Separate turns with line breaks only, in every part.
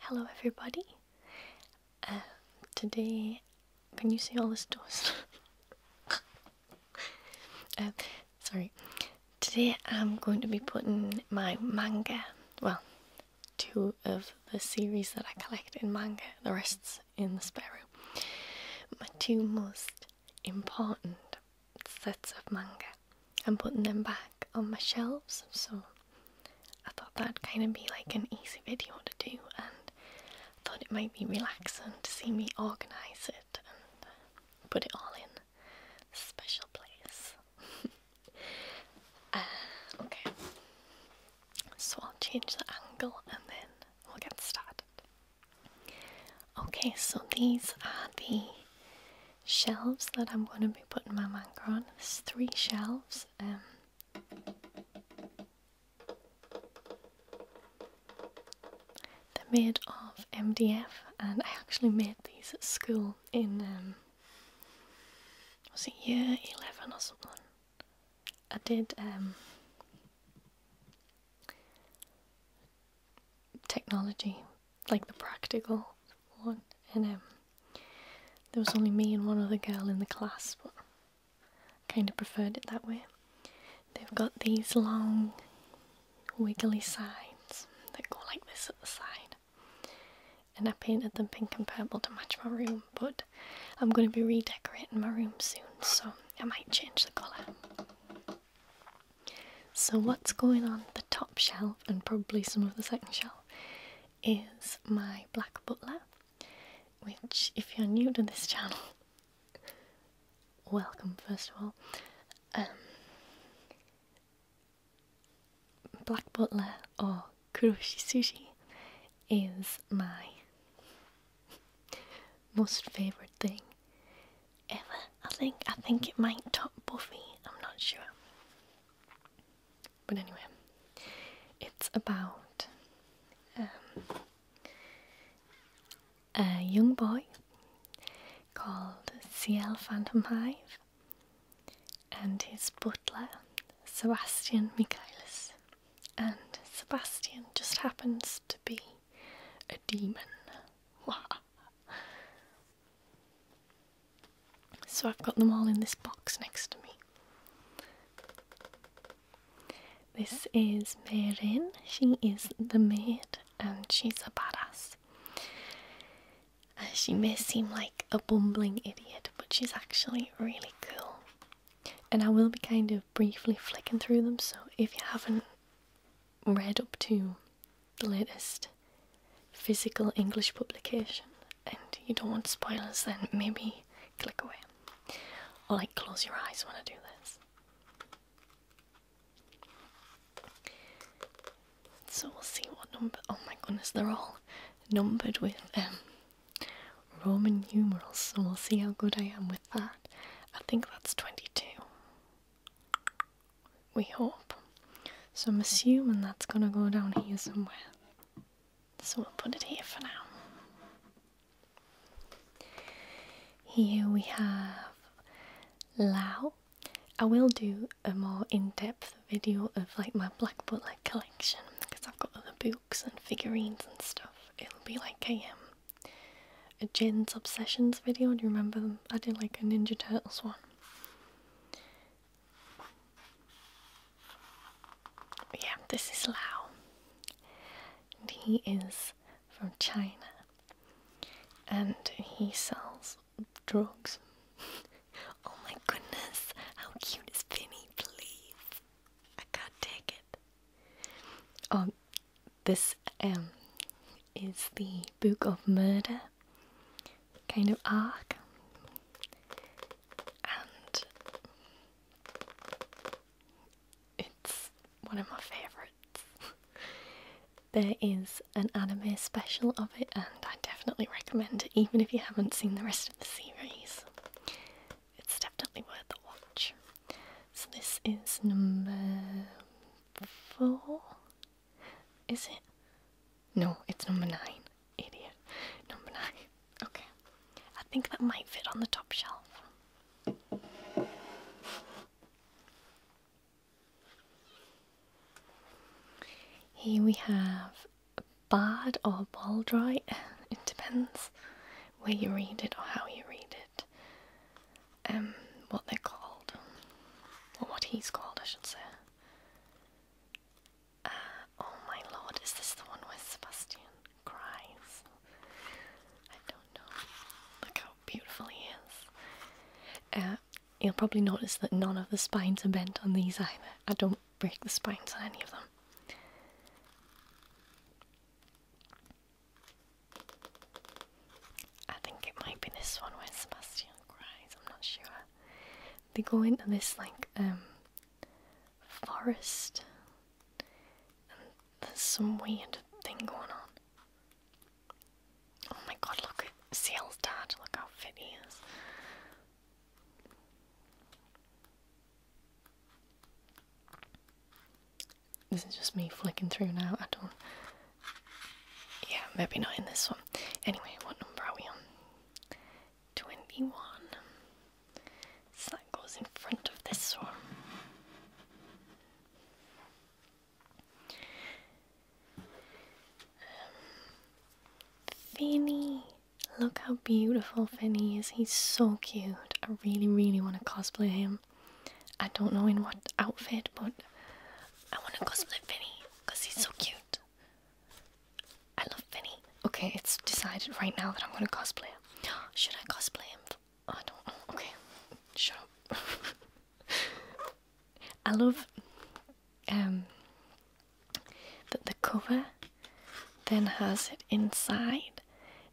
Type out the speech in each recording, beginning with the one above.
Hello, everybody. Uh, today, can you see all this dust? Uh, sorry. Today, I'm going to be putting my manga. Well, two of the series that I collect in manga. The rest's in the spare room. My two most important sets of manga and putting them back on my shelves. So I thought that'd kind of be like an easy video to do, and thought it might be relaxing to see me organise it and put it all in a special place. Uh, okay, so I'll change the angle and then we'll get started. Okay, so these are the shelves that I'm going to be putting my manga on. There's three shelves. Um, they're made of MDF, and I actually made these at school in um, was it year eleven or something. I did um, technology, like the practical one. And um, there was only me and one other girl in the class, but I kind of preferred it that way. They've got these long, wiggly sides that go like this at the side. And I painted them pink and purple to match my room, but I'm going to be redecorating my room soon, so I might change the colour. So, what's going on the top shelf and probably some of the second shelf is my Black Butler, which, if you're new to this channel, welcome first of all. Um, black Butler or Kuroshi Sushi is my most favourite thing ever. I think I think it might top Buffy. I'm not sure. But anyway, it's about um, a young boy called CL Phantom Hive and his butler Sebastian Michaelis. And Sebastian just happens to be a demon. So I've got them all in this box next to me. This is Merin. She is the maid and she's a badass. she may seem like a bumbling idiot, but she's actually really cool. And I will be kind of briefly flicking through them, so if you haven't read up to the latest physical English publication and you don't want spoilers, then maybe click away. Or like close your eyes when I do this. So we'll see what number. Oh my goodness, they're all numbered with um, Roman numerals. So we'll see how good I am with that. I think that's 22. We hope. So I'm assuming that's gonna go down here somewhere. So we'll put it here for now. Here we have Lao. I will do a more in-depth video of like my Black like collection because I've got other books and figurines and stuff. It'll be like a um, a Jen's Obsessions video. Do you remember I did like a Ninja Turtles one. yeah, this is Lau. And he is from China. And he sells drugs. oh my goodness, how cute is Vinny, please? I can't take it. Um, this um, is the Book of Murder kind of arc, and it's one of my favourites. there is an anime special of it, and I definitely recommend it, even if you haven't seen the rest of the series. It's definitely worth the watch. So, this is number four. Is it? No, it's number nine. Idiot. Number nine. Okay. I think that might fit on the top shelf. Here we have Bard or Baldroy. It depends where you read it or how you read it um, what they're called, or what he's called, I should say. Uh, oh my lord, is this the one where Sebastian cries? I don't know. Look how beautiful he is. Uh, you'll probably notice that none of the spines are bent on these either. I don't break the spines on any of them. I think it might be this one where Sebastian cries, I'm not sure. They go into this like um, forest and there's some weird thing going on. Oh my god, look at Seal's dad, look how fit he is. This is just me flicking through now. I don't yeah, maybe not in this one. Anyway, what number are we on? 21. So that goes in front of this one. Um, Finny. Look how beautiful Finny is. He's so cute. I really, really want to cosplay him. I don't know in what outfit, but I want to cosplay Vinny because he's so cute. I love Vinny. Okay, it's decided right now that I'm gonna cosplay him. Should I cosplay him? Oh, I don't know. Okay, shut up. I love um that the cover then has it inside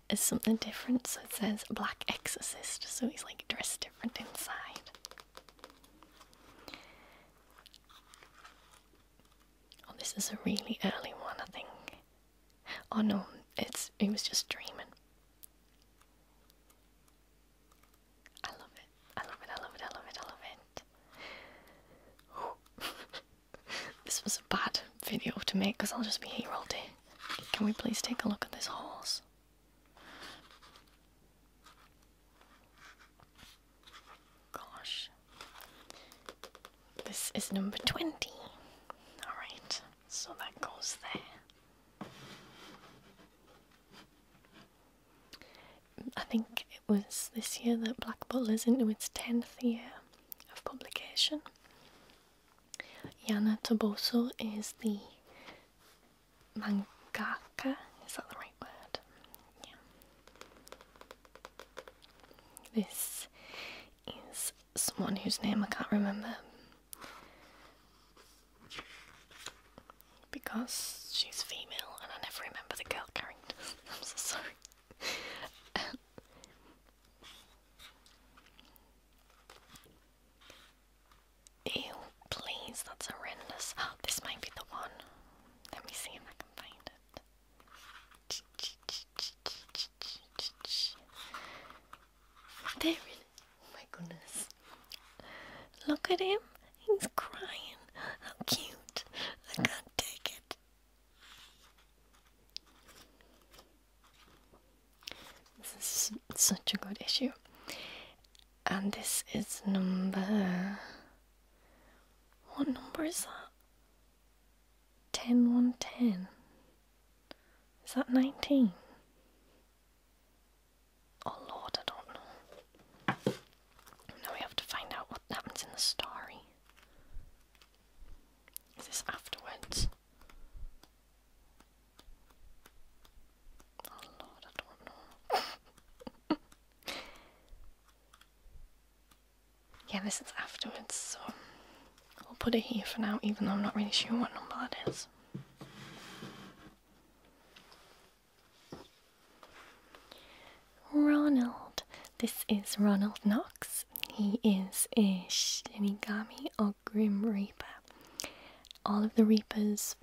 is something different. So it says Black Exorcist. So he's like dressed Oh, this is a really early one, I think. Oh no, it's it was just dreaming. I love it. I love it. I love it. I love it. I love it. this was a bad video to make because I'll just be here all day. Can we please take a look at this horse? Gosh. This is number 20. Alright, so that goes there. I think it was this year that Black is into its 10th year of publication. Yana Toboso is the mangaka? Is that the right word? Yeah. This is someone whose name I can't remember. Because she's female and I never remember the girl character. I'm so sorry. Um, Ew, please, that's horrendous. this might be the one. Let me see if I can find it. There it is. Oh my goodness. Look at him. He's crying. How cute. I can't take it. This is such a good issue and this is number. What number is that? 10 110. Is that 19? Oh lord, I don't know. Now we have to find out what happens in the story. Is this afterwards? Oh lord, I don't know. yeah, this is afterwards, so i will put it here for now, even though I'm not really sure what number that is. Ronald. This is Ronald Knox. He is a Shinigami or Grim Reaper. All of the Reapers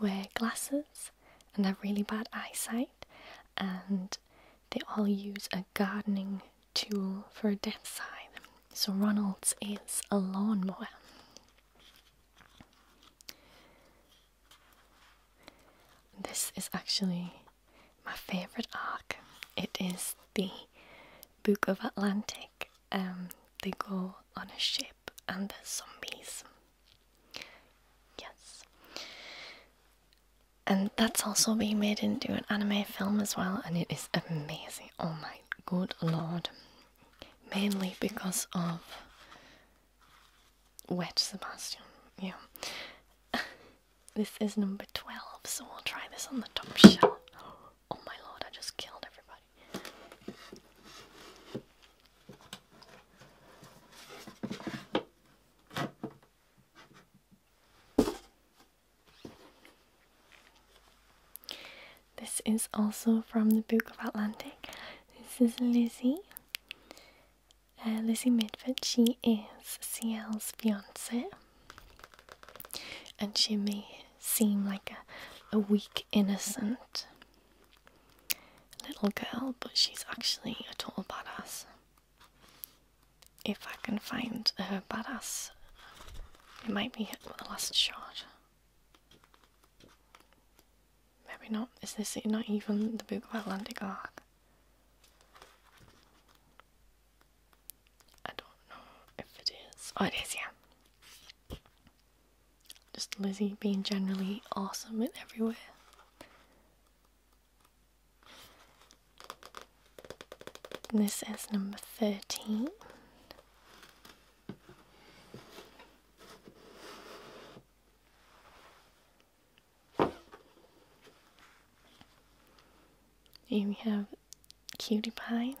wear glasses and have really bad eyesight, and they all use a gardening tool for a death sign. So Ronald's is a lawnmower. This is actually my favourite arc. It is the Book of Atlantic. Um, they go on a ship and the zombies. Yes. And that's also being made into an anime film as well, and it is amazing. Oh my good lord. Mainly because of Wet Sebastian. Yeah. this is number 12, so we'll try this on the top shelf. Oh my lord, I just killed everybody. This is also from the Book of Atlantic. This is Lizzie. Uh, Lizzie Midford, she is CL's fiance, and she may seem like a, a weak innocent, little girl, but she's actually a total badass. If I can find her badass, it might be the last shot. Maybe not. Is this not even the Book of Atlantic Arc? I don't know if it is. Oh, it is, yeah. Just Lizzie being generally awesome and everywhere. this is number 13. Here we have Cutie Pie,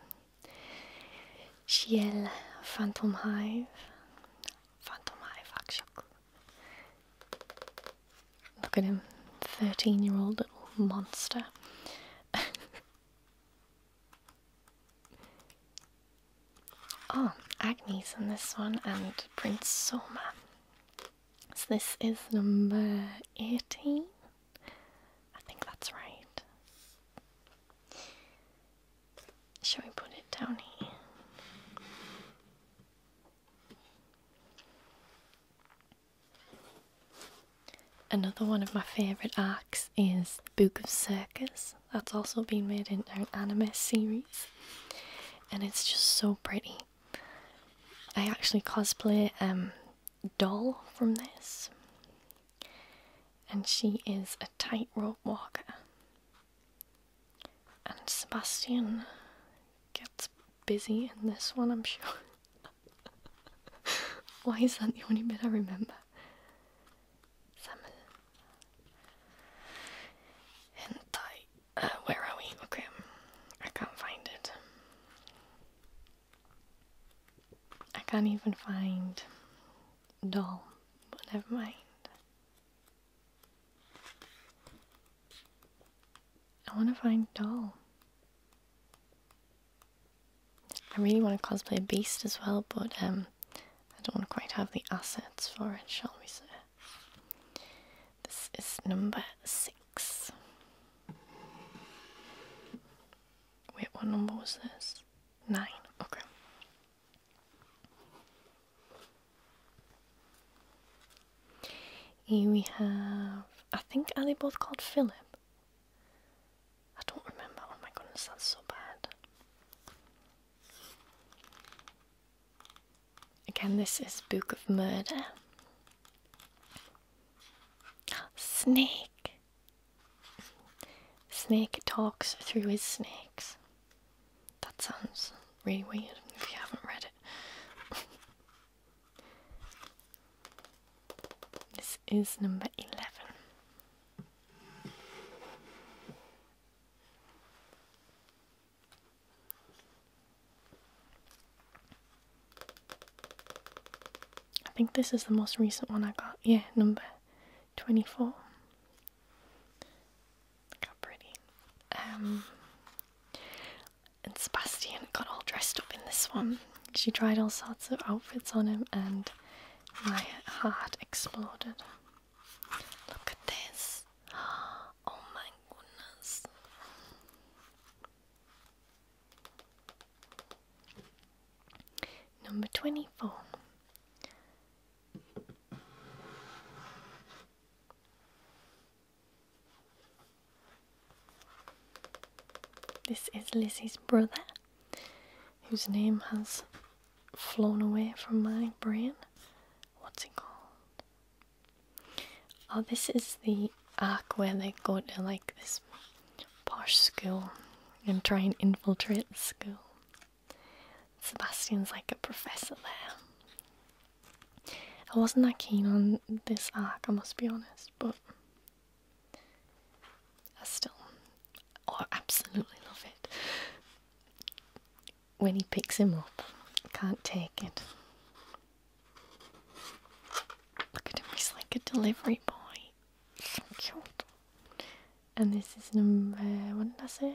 Ciel Phantom Hive, Phantom Look at him, 13 year old monster. oh, Agnes in this one and Prince Soma. So this is number 18. I think that's right. Shall we put it down here? Another one of my favourite arcs is Book of Circus. That's also been made into an anime series. And it's just so pretty. I actually cosplay um, Doll from this and she is a tightrope walker. And Sebastian gets busy in this one, I'm sure. Why is that the only bit I remember? Hentai. Uh, where are we? Okay, I can't find it. I can't even find Doll, but never mind. I want to find doll. I really want to cosplay a beast as well, but um, I don't quite have the assets for it, shall we say. This is number six. Wait, what number was this? Nine, okay. Here we have, I think, are they both called Philip? I don't remember. Oh my goodness, that's so bad. Again, this is Book of Murder. Snake! Snake talks through his snakes. That sounds really weird if you haven't read it. this is number 11. I think this is the most recent one I got. Yeah, number 24. Look how pretty. Um, and Sebastian got all dressed up in this one. She tried all sorts of outfits on him, and my heart exploded. Look at this. Oh my goodness. Number 24. This is Lizzie's brother, whose name has flown away from my brain. What's it called? Oh, this is the arc where they go to like this posh school and try and infiltrate the school. Sebastian's like a professor there. I wasn't that keen on this arc, I must be honest, but I still oh, absolutely love it. When he picks him up, can't take it. Look at him, he's like a delivery boy. So cute. And this is number, what did I say?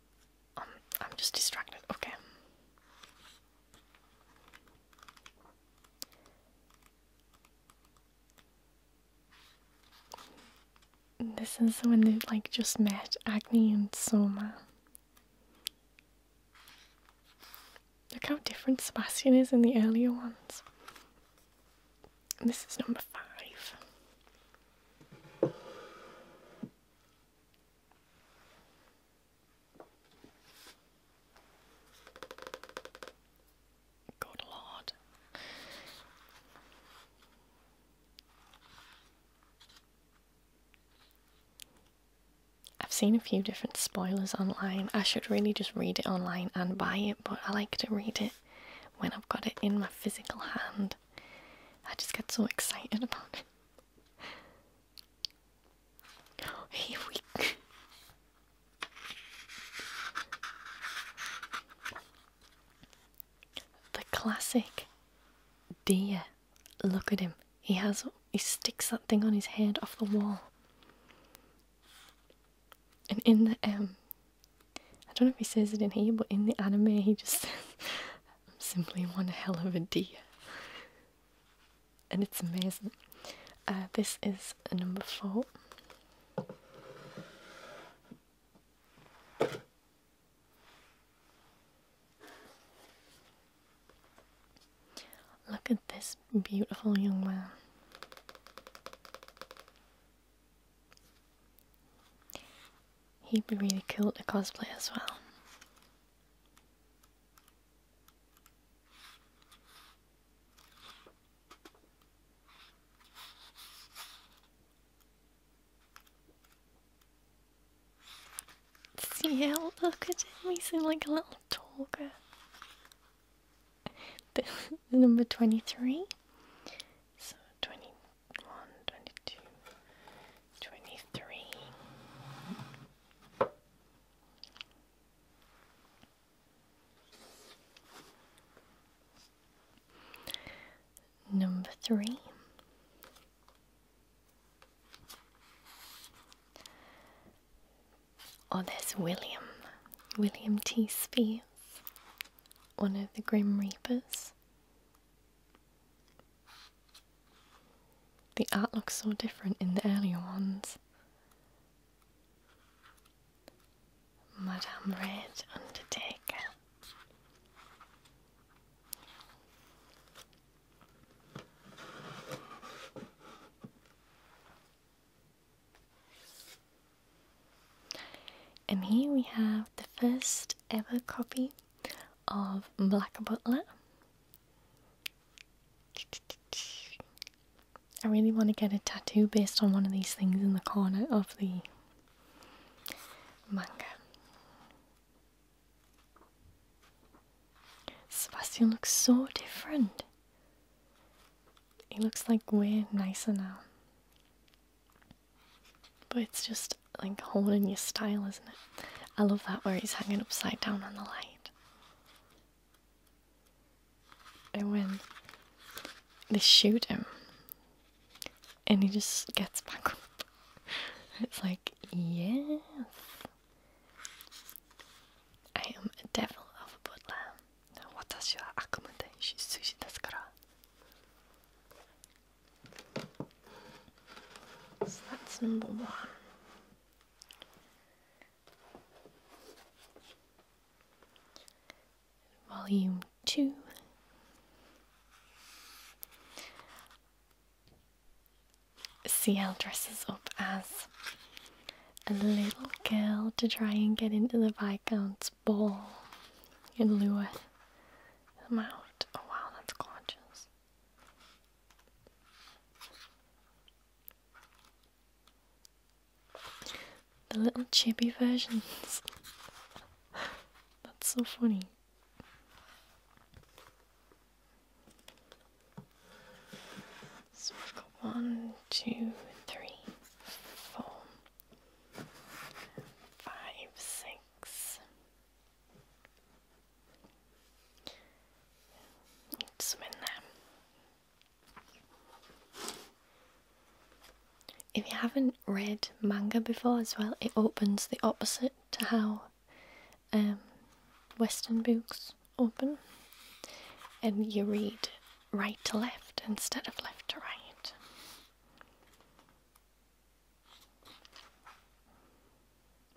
Um, I'm just distracted. Okay. This is when they like just met Agni and Soma. Look how different Sebastian is in the earlier ones. this is number five. Good Lord. I've seen a few different spoilers online. I should really just read it online and buy it, but I like to read it when I've got it in my physical hand. I just get so excited about it. Here we go. The classic deer. Look at him. He has he sticks that thing on his head off the wall. And in the um I don't know if he says it in here, but in the anime he just I'm simply one hell of a D. and it's amazing. Uh, this is number four. Look at this beautiful young man. He'd be really cool to cosplay as well. See how look at him, he's like a little talker. Number 23. So 21, Twenty-three. Number three. Oh, there's William, William T. Spears, one of the Grim Reapers. The art looks so different in the earlier ones. Madame Red Undertaker. And here we have the first ever copy of Black Butler. I really want to get a tattoo based on one of these things in the corner of the manga. Sebastian looks so different. He looks like we're nicer now. But it's just like holding your style, isn't it? I love that where he's hanging upside down on the light. And when they shoot him and he just gets back up, it's like, yes, I am a devil of a butler. What's your accommodation? Sushi desu so that's number one. Volume two. CL dresses up as a little girl to try and get into the Viscount's ball and lure them out. Oh wow, that's gorgeous. The little chibi versions. That's so funny. one, two, three, four, five, six, if you haven't read manga before as well, it opens the opposite to how um, Western books open, and you read right to left instead of left to right.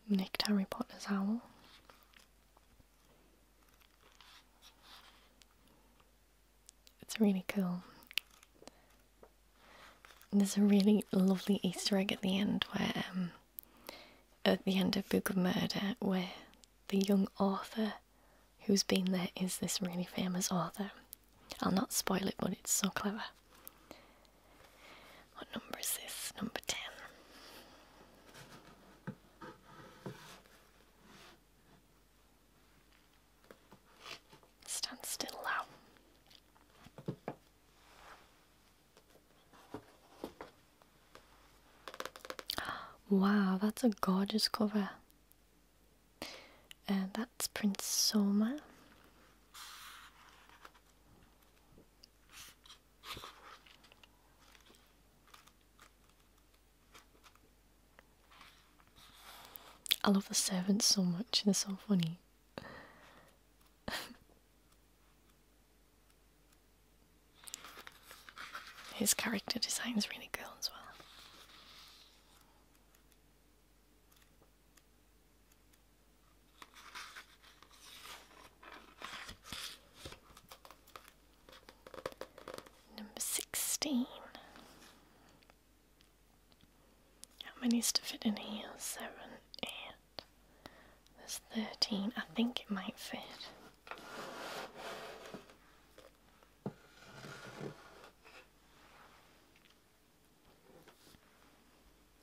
Nicked Harry Potter's owl. It's really cool. There's a really lovely Easter egg at the end where, um, at the end of Book of Murder, where the young author who's been there is this really famous author. I'll not spoil it, but it's so clever. What number is this? Number 10. Stand still now. Wow, that's a gorgeous cover. and uh, that's Prince Soma. I love the servants so much, they're so funny. His character designs really cool as well. Number 16. How many to fit in here? 7, 8. There's 13. I think it might fit.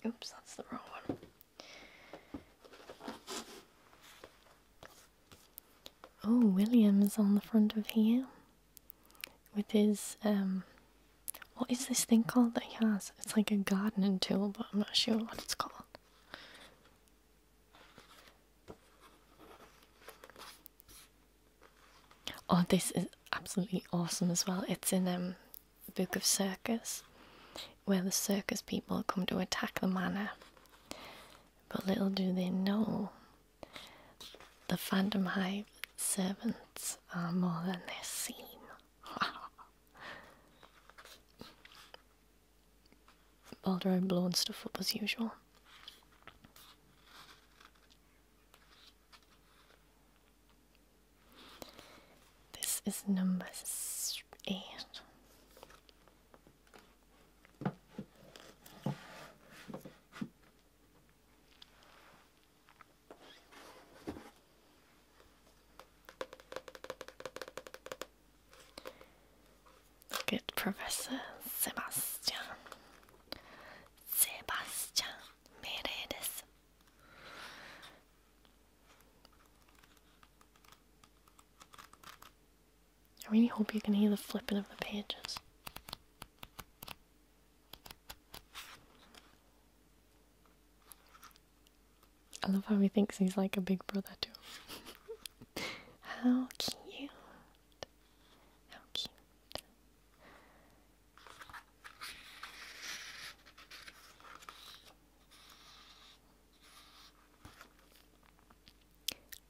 Oops, that's the wrong one. Oh, William's on the front of here with his, um, what is this thing called that he has? It's like a gardening tool, but I'm not sure what it's called. Oh, this is absolutely awesome as well. It's in um the Book of Circus, where the circus people come to attack the manor. But little do they know, the Phantom Hive servants are more than they seem. Baldur blowing stuff up as usual. This is number eight. Look Professor Sebastian. Sebastian I really hope you can hear the flipping of the pages. I love how he thinks he's like a big brother too. how cute. How cute.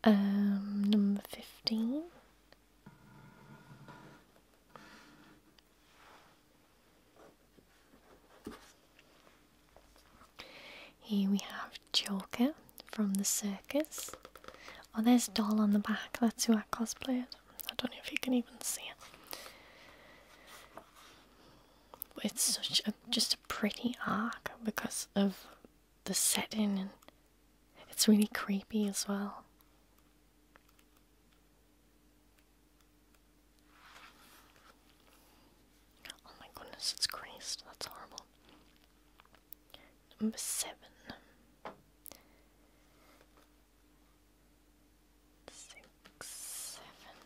Um, number 15. Here we have Joker from the circus. Oh, there's Doll on the back. That's who I cosplayed. I don't know if you can even see it it's such a just a pretty arc because of the setting and it's really creepy as well. Oh my goodness, it's creased. That's horrible. Number seven six, seven.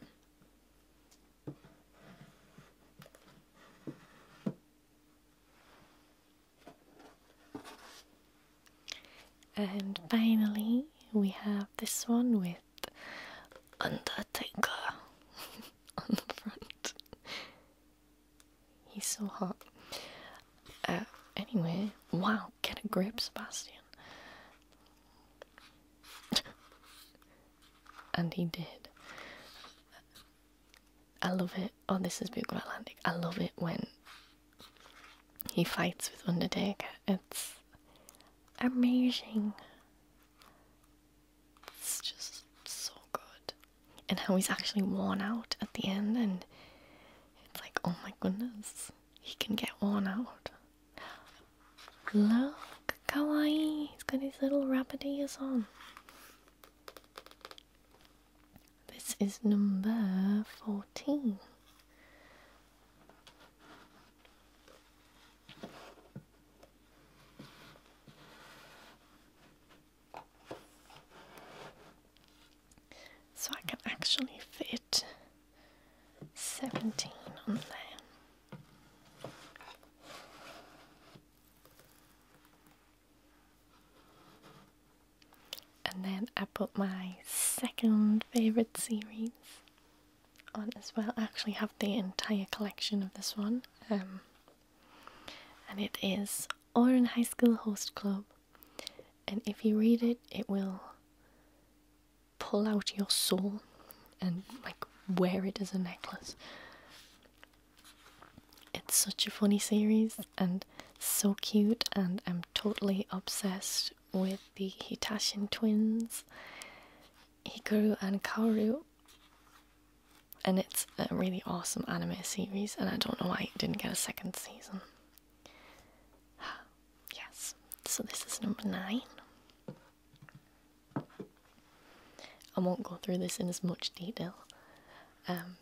And finally, we have this one with Undertaker on the front. He's so hot. Uh, anyway, wow, get a grip, Sebastian. and he did. I love it. Oh, this is Book of Atlantic. I love it when he fights with Undertaker. It's amazing. It's just so good. And how he's actually worn out at the end, and it's like, oh my goodness, he can get worn out. Look, kawaii! He's got his little rabbit ears on. This is number 14. So I can actually fit 17 on there. And then I put my second favourite series on as well. actually have the entire collection of this one. Um, and it is Oran High School Host Club. And if you read it, it will pull out your soul and like wear it as a necklace. It's such a funny series and so cute, and I'm totally obsessed with the Hitashin twins, Hikaru and Kaoru. And it's a really awesome anime series, and I don't know why it didn't get a second season. yes, so this is number nine. I won't go through this in as much detail, um,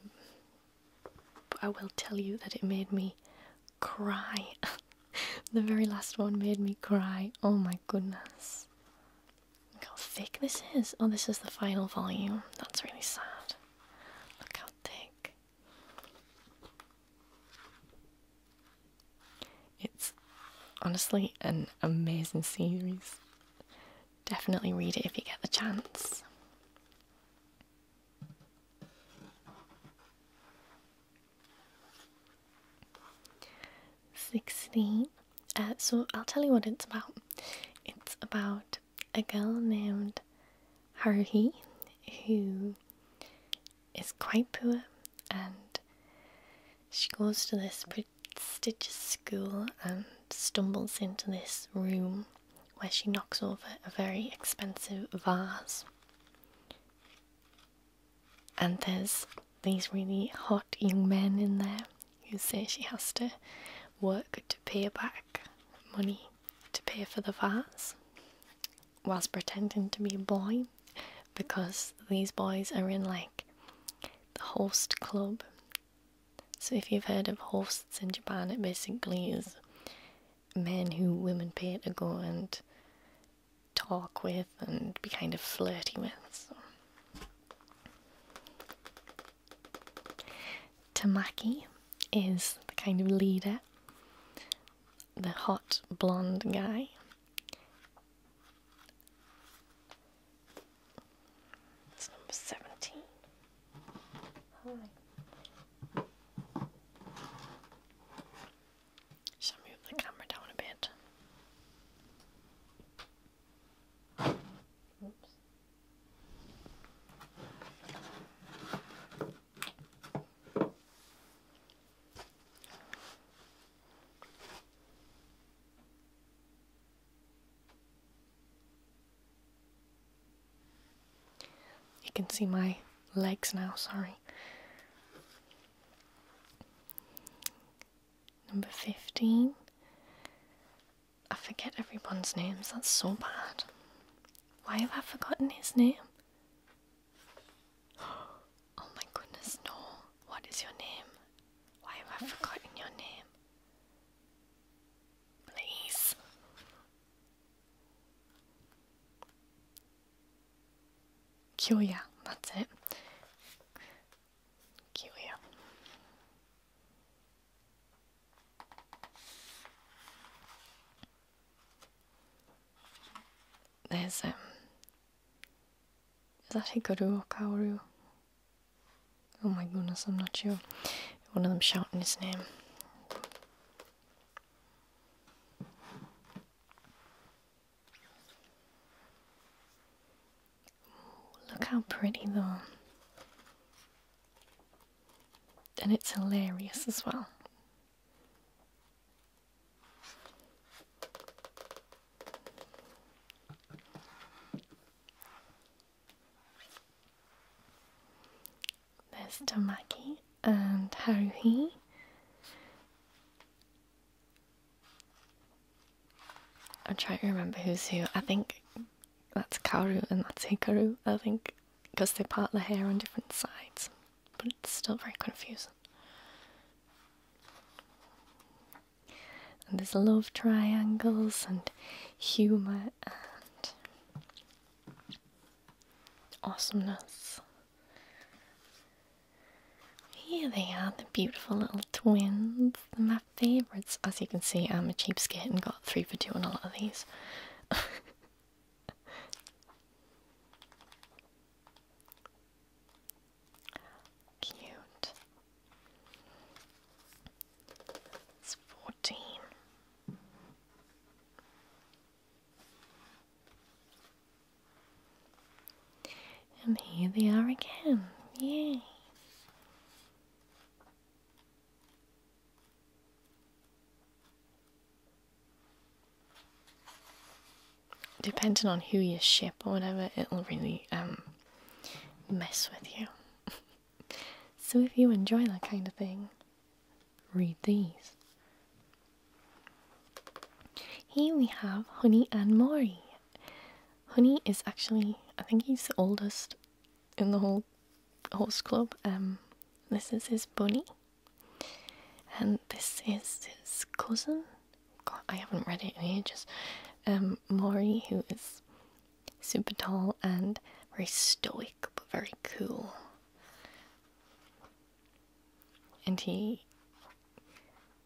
but I will tell you that it made me cry. the very last one made me cry. Oh my goodness. Look how thick this is. Oh, this is the final volume. That's really sad. Look how thick. It's honestly an amazing series. Definitely read it if you get the chance. Sixteen. Uh, so I'll tell you what it's about. It's about a girl named Haruhi who is quite poor and she goes to this prestigious school and stumbles into this room where she knocks over a very expensive vase. And there's these really hot young men in there who say she has to work to pay back money to pay for the vase was pretending to be a boy because these boys are in like the host club. So if you've heard of hosts in Japan, it basically is men who women pay to go and talk with and be kind of flirty with. Tamaki is the kind of leader, the hot blonde guy it's number 17. Hi. Shall I move the camera down a bit? Oops. You can see my legs now, sorry. Number 15. I forget everyone's names, that's so bad. Why have I forgotten his name? Oh my goodness, no. What is your name? Why have I forgotten your name? Please. Kyoya, that's it. Kyoya. There's um is that Hikaru or Kaoru? Oh my goodness, I'm not sure. One of them shouting his name. look how pretty though. And it's hilarious as well. There's Tamaki and Haruhi. I'm trying to remember who's who. I think that's Karu and that's Hikaru, I think, because they part the hair on different sides. But it's still very confusing and there's love triangles and humor and awesomeness. Here they are, the beautiful little twins. They're my favourites. As you can see, I'm a cheap skit and got three for two on a lot of these. Cute. It's fourteen. And here they are again. Yay depending on who you ship or whatever, it'll really um, mess with you. so if you enjoy that kind of thing, read these. Here we have Honey and Mori. Honey is actually, I think he's the oldest in the whole horse club. Um, this is his bunny, and this is his cousin. I haven't read it in just um, Mori, who is super tall and very stoic but very cool, and he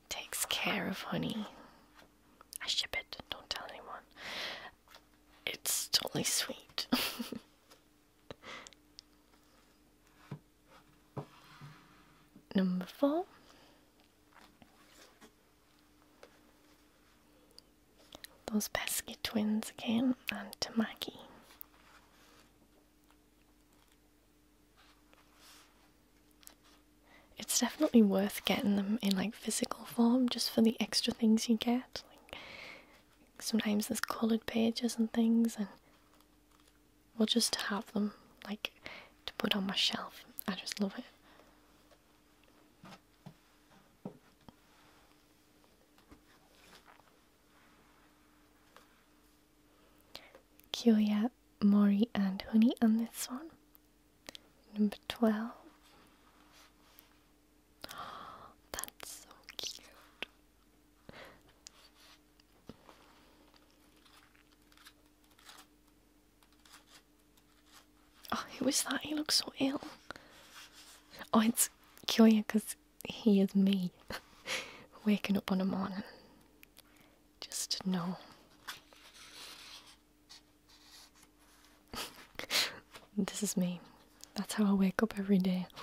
takes care of Honey. I ship it. Don't tell anyone. It's totally sweet. Number four. Those pesky twins again and Tamaki. It's definitely worth getting them in like physical form just for the extra things you get. Like sometimes there's coloured pages and things and well, just to have them, like to put on my shelf. I just love it. Kyoya, Mori, and Honey on this one. Number 12. that's so cute. Oh, who is that? He looks so ill. Oh, it's Kyoya because he is me. Waking up on a morning. Just to know. this is me. That's how I wake up every day.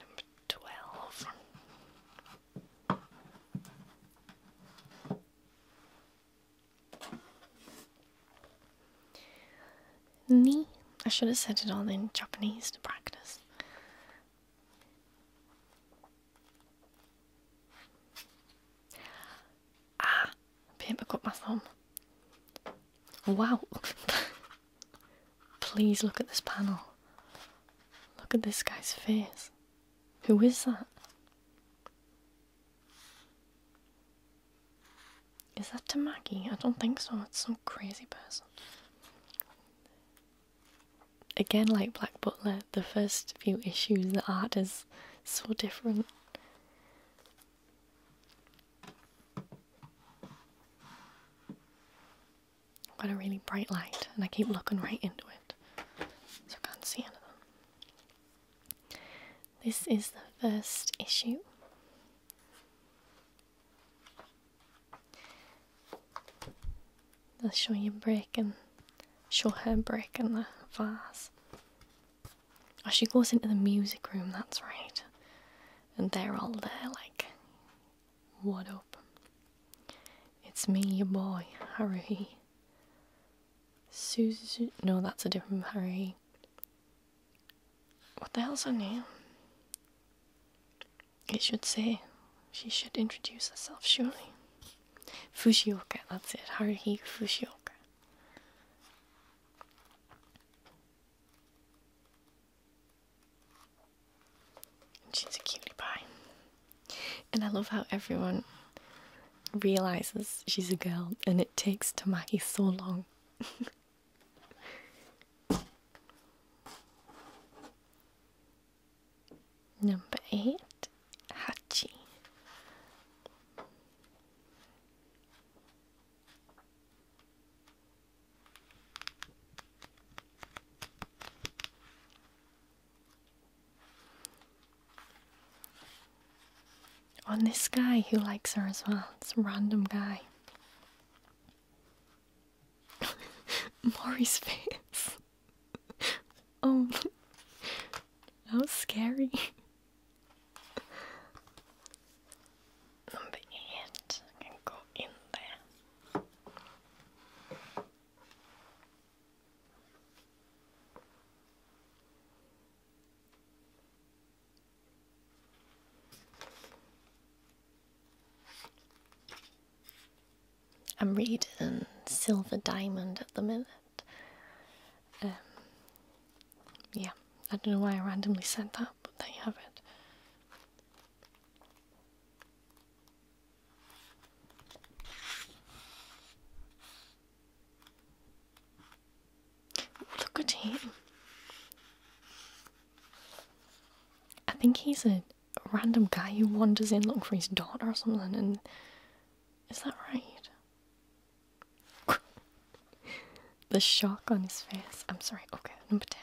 Number twelve. Ni. I should have said it all in Japanese to practice. Ah, paper cut my thumb. Wow, Please look at this panel. Look at this guy's face. Who is that? Is that Tamaki? I don't think so. It's some crazy person. Again, like Black Butler, the first few issues, the art is so different i got a really bright light and I keep looking right into it so I can't see anything. This is the first issue. i will show you breaking, show her breaking the vase. As oh, she goes into the music room, that's right and they're all there like, what up? It's me, your boy, Haruhi. Suzu. No, that's a different Haruhi. What the hell's her name? It should say. She should introduce herself, surely. Fushioka, that's it. Haruhi Fushioka. And she's a cutie pie. And I love how everyone realizes she's a girl, and it takes Tamaki so long. Number eight, Hachi. On this guy who likes her as well. It's a random guy. Maury's face. oh, that was scary the edge and go in there. I'm reading Silver Diamond at the minute. Um, yeah, I don't know why I randomly said that they have it. Look at him. I think he's a random guy who wanders in looking for his daughter or something, and is that right? the shock on his face. I'm sorry. Okay, number 10.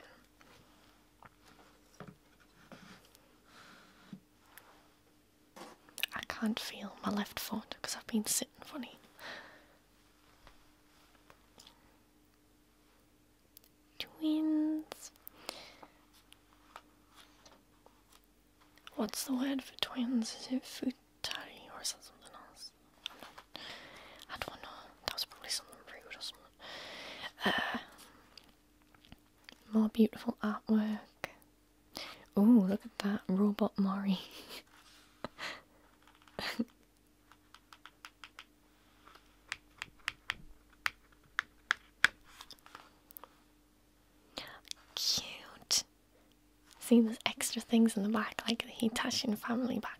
I can't feel my left foot because I've been sitting funny. Twins. What's the word for twins? Is it futari or is that something else? i don't know. That was probably something rude or something. Uh, more beautiful artwork. Oh, look at that robot Mori. Cute. See, there's extra things in the back, like the Hitachi family background.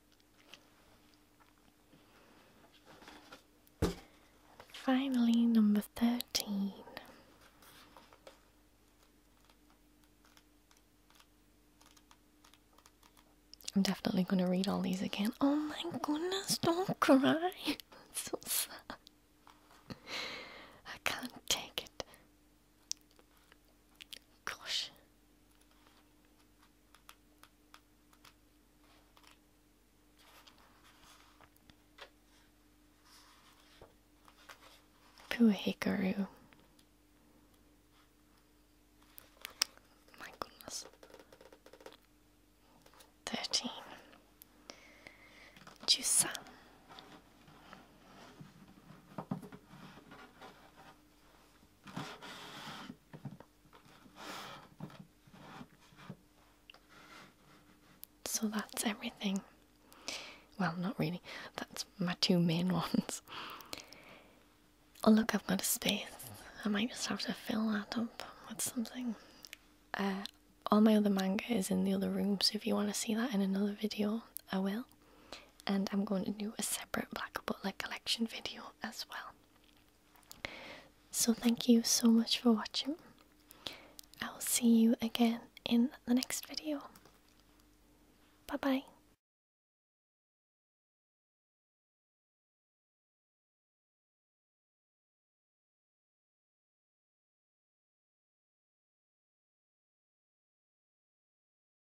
Finally, number 13. I'm definitely going to read all these again. Oh my goodness, don't cry. so sad. I can't take it. Gosh. Pooh Hikaru. My goodness. Thirteen. Jusa. So that's everything. Well, not really. That's my two main ones. Oh, look, I've got a space. I might just have to fill that up with something. Uh, all my other manga is in the other room, so if you want to see that in another video, I will and I'm going to do a separate black butler collection video as well. So thank you so much for watching. I will see you again in the next video. Bye bye.